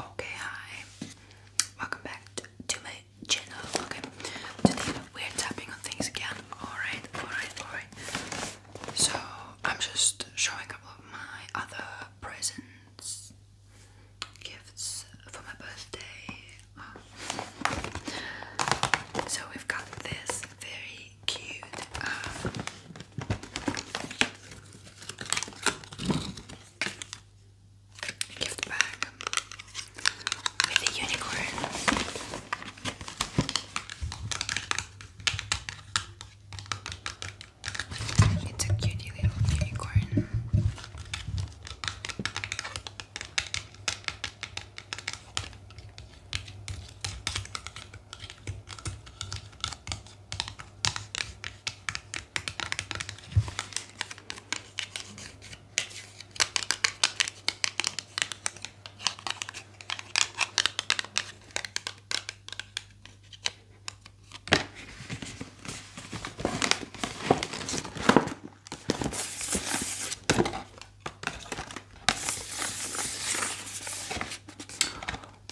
Okay, hi. Welcome back to, my channel. Okay, today we're tapping on things again. Alright, alright, alright. So, I'm just showing a couple of my other presents, gifts for my birthday. Ah. So, we've got this very cute. Um, Gift bag with a unicorn. It's a cutie little unicorn.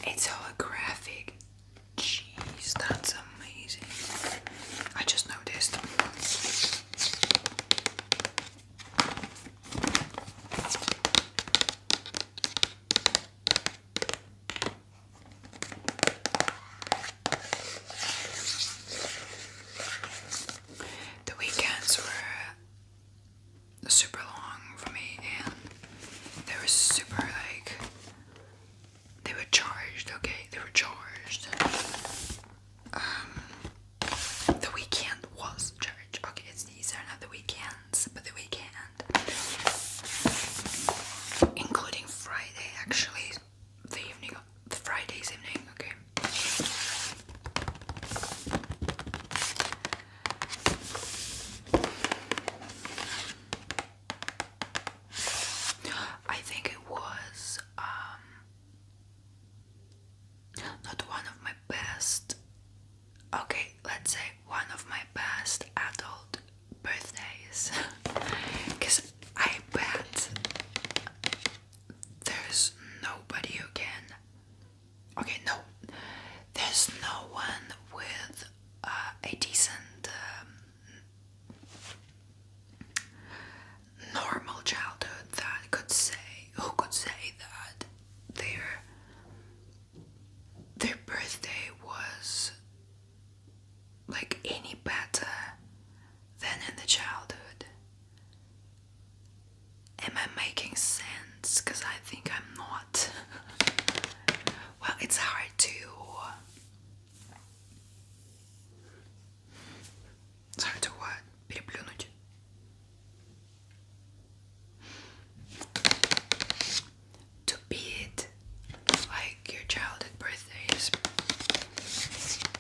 It's holographic Jeez, that's amazing. I just noticed. The weekends were super long for me, and they were super like they were charged, okay? They were charged. Um, the weekend was charged. Okay, it's these are not the weekends, but the weekend, including Friday, actually, the evening, the Friday's evening, okay. I think it was um, not one of my best. Okay, let's say one of my best adult birthdays. Because I bet there's nobody who can. Okay, no. There's no one with uh, a decent um, normal childhood that could say who could say that their their birthday was like any better than in the childhood am i making sense because i think i'm not well it's hard to to what? Переплюнуть. like your child at birthdays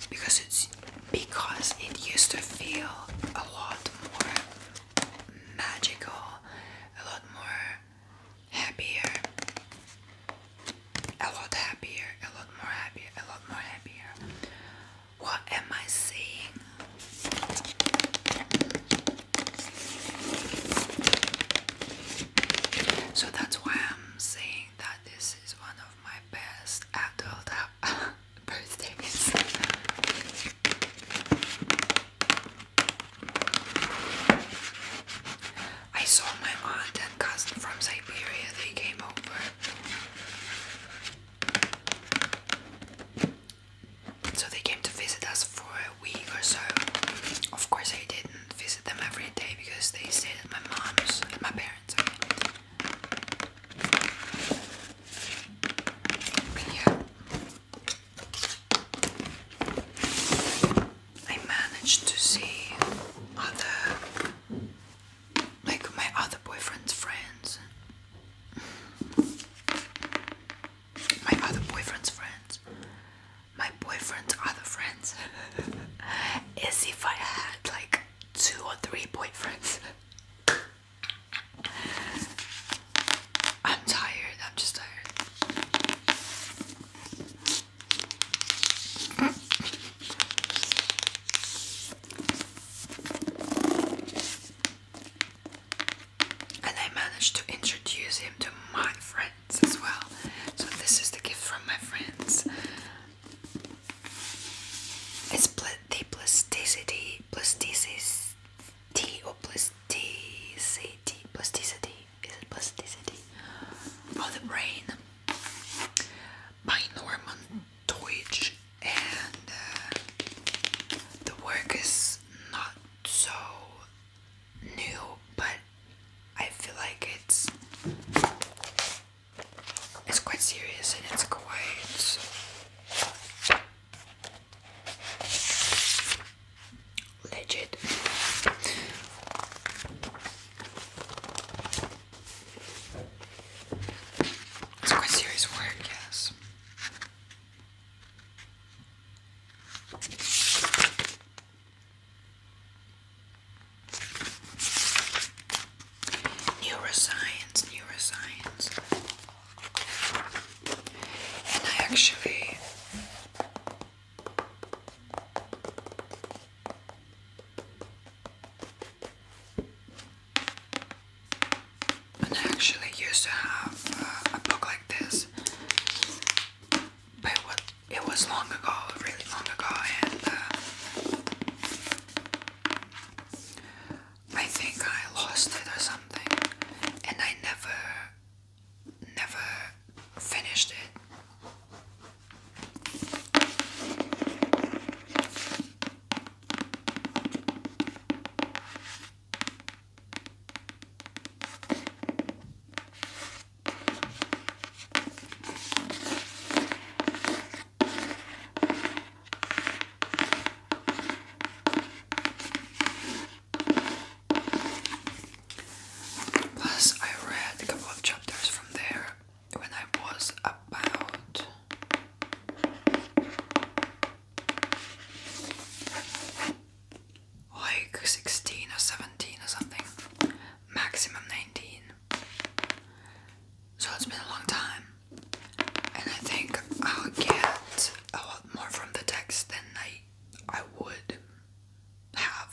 because it's because it used to feel a lot more magical, a lot more happier, a lot happier, a lot more happier, a lot more happier. What am I seeing? So that's why I'm saying that this is one of my best adult birthdays. I saw my aunt and cousin from Siberia, they came over. So they came to visit us for a week or so. Of course, I didn't visit them every day because they stayed at my mom's, and my parents'. But here. I managed to see other, like my other boyfriend's friends. My other boyfriend's friends. My boyfriend's other friends. As if I had like two or three boyfriends. I'm tired, I'm just tired. And I managed to introduce him to my friends as well. So, this is the gift from my friends. It's pl the plasticity, plasticity, or plasticity, plasticity is plasticity of the brain by Norman Deutsch and uh, the work is not so new but I feel like it's it's quite serious and it's quite legit. It's quite serious work, yes. Neuroscience, neuroscience. And I actually I actually used to have uh, a book like this, but it was long ago, really long ago, and uh, I think I lost it or something, and I never never finished it. Plus, I read a couple of chapters from there when I was about like 16 or 17 or something, maximum 19. So it's been a long time, and I think I'll get a lot more from the text than I I would have.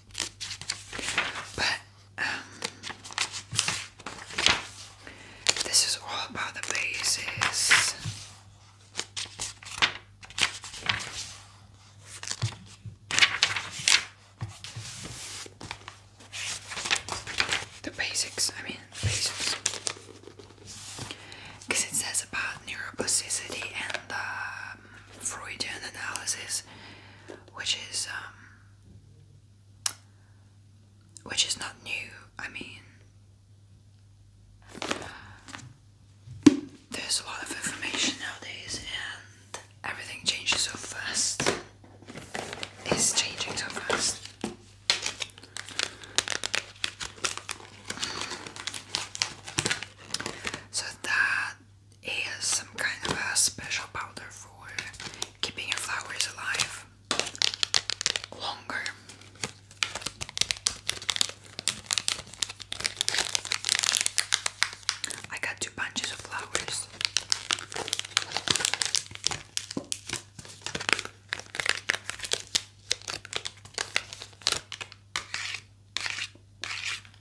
But um, this is all about the basics. The basics, I mean, the basics. Because it says about neuroplasticity and um, Freudian analysis, which is um, which is not new, I mean, there's a lot of information nowadays and everything changes so fast. It's changing so fast. So that is some kind of a special powder for keeping your flowers alive longer. I got two bunches of flowers.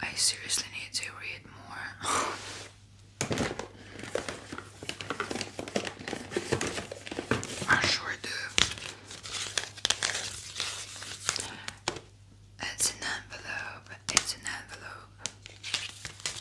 I seriously need to read more. I sure do. It's an envelope. It's an envelope.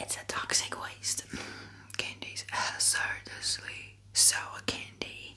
It's a toxic waste. Mm, candies hazardously uh, sour candy.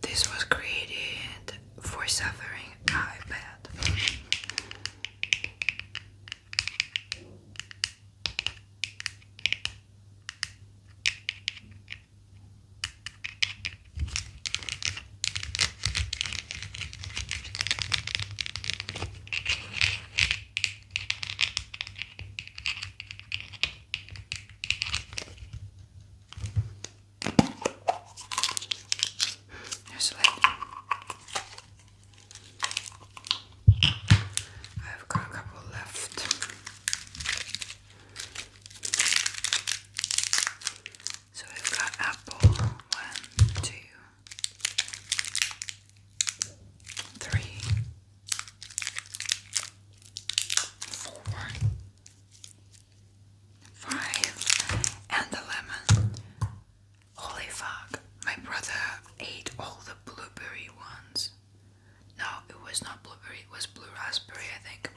This was created for suffering ah, iPad. There's a lid. I've got a couple left. So we've got apple one, two, three, four, five, and the lemon. Holy fuck, my brother ate all the blueberry ones. No, it was not blueberry, it was blue raspberry, I think.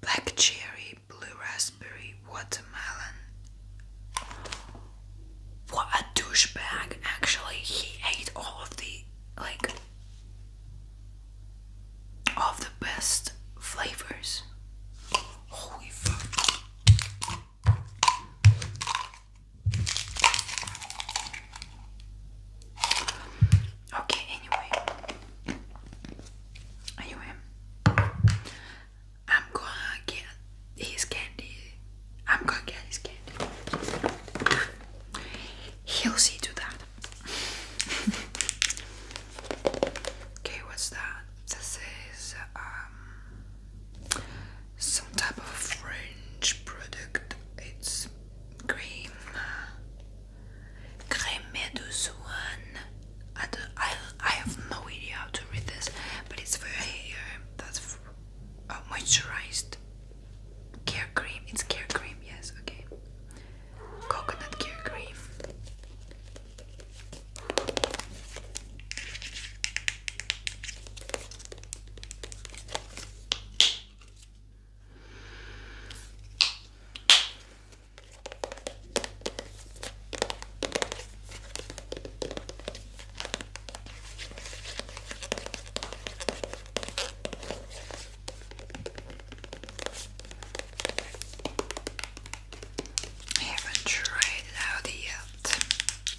Black cherry, blue raspberry, watermelon. What a douchebag! Actually, he ate all of the like of the best flavors. Holy fuck! Okay, anyway. Anyway. I'm gonna get his candy. I'm gonna get his candy. He'll see to that. okay, what's that? This is um some type of French product. It's cream. Crème de soin. I, I, I have no idea how to read this, but it's for hair. That's uh, moisturized care cream. It's care cream, yes, okay. Coconut care cream. I haven't tried it out yet.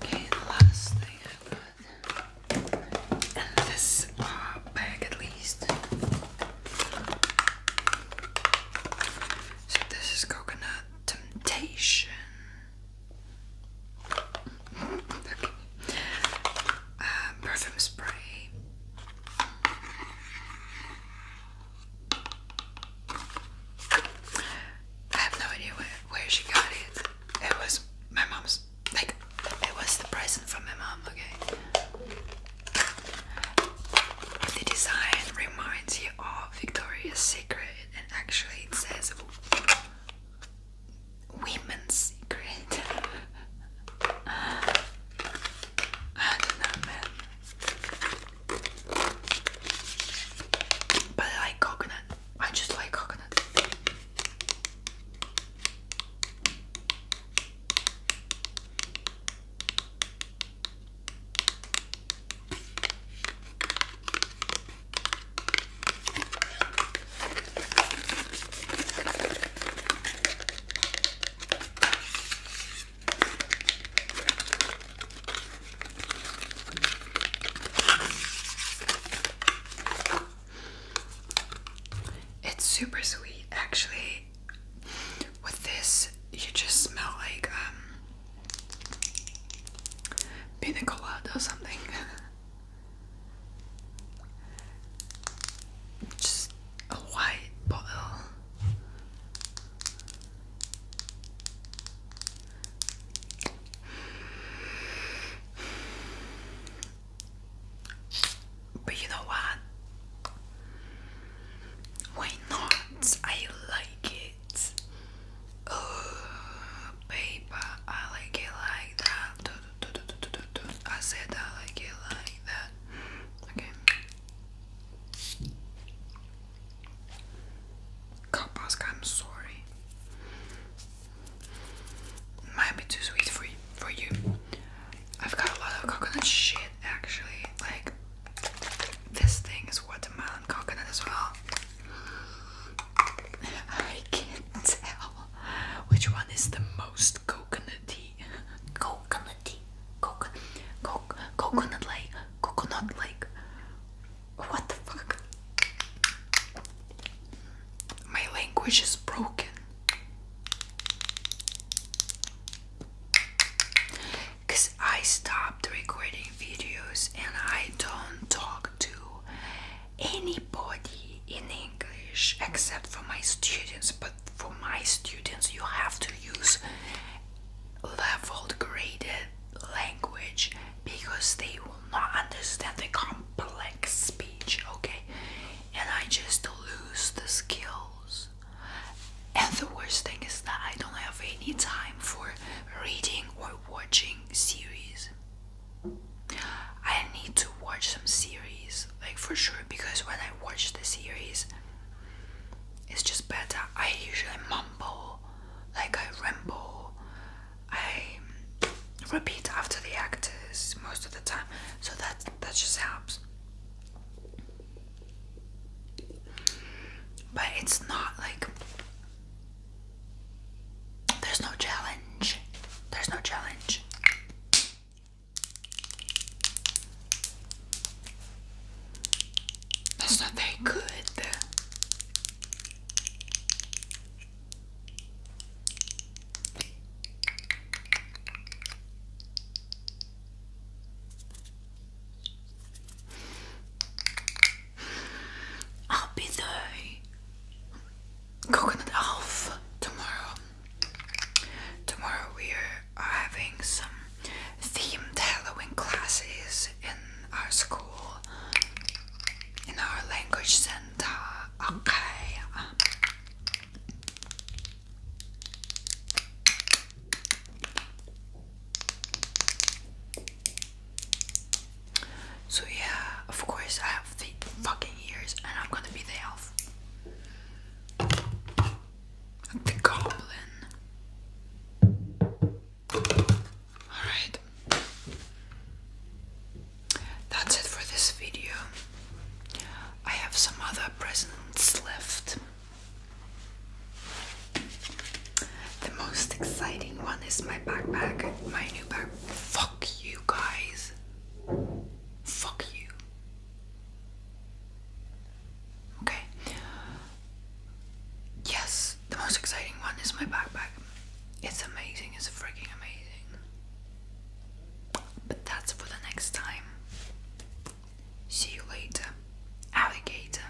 Okay, last thing I got in this uh, bag, at least. So this is coconut temptation. Uh, perfume spray. I have no idea where, where she got it. It was my mom's, like, it was the present from my mom, okay? The design reminds you of Victoria's Secret and actually it says women's secret. I don't know, man. But I like coconut. I just like coconut. It's super sweet actually. With this, you just smell like um pina colada or something. Just a white bottle. But you know what? Why not? I like it paper, I like it like that. I said I like it like that. Okay. Kapaska, I'm sorry. Might be too sweet for you, for you. I've got a lot of coconut shit actually. Like this thing is watermelon coconut as well. I can't tell which one is the most coconutty. Coconutty. Coconut. Co coconut like. Coconut like. What the fuck? My language is broken. Because I stopped recording videos and I don't talk to anybody in English except for my students. But for my students, you have to use leveled graded language because they will not understand the complex speech, okay? And I just lose the skills. And the worst thing is that I don't have any time for reading or watching series. I need to watch some series, like for sure, because when I watch the series, it's just better. I usually mumble, like I ramble, I repeat after the actors most of the time, so that that just helps. But it's not like there's no challenge. There's no challenge. That's not very good. I'll be the coconut elf tomorrow. Tomorrow we are having some themed Halloween classes in our school, in our language center. Okay. So yeah, of course I have the fucking ears and I'm gonna be the elf. The goblin. Alright. That's it for this video. I have some other presents left. The most exciting one is my backpack, my new backpack. Fuck you guys. Fuck you. Okay. Yes, the most exciting one is my backpack. It's amazing, it's freaking amazing. But that's for the next time. See you later, alligator.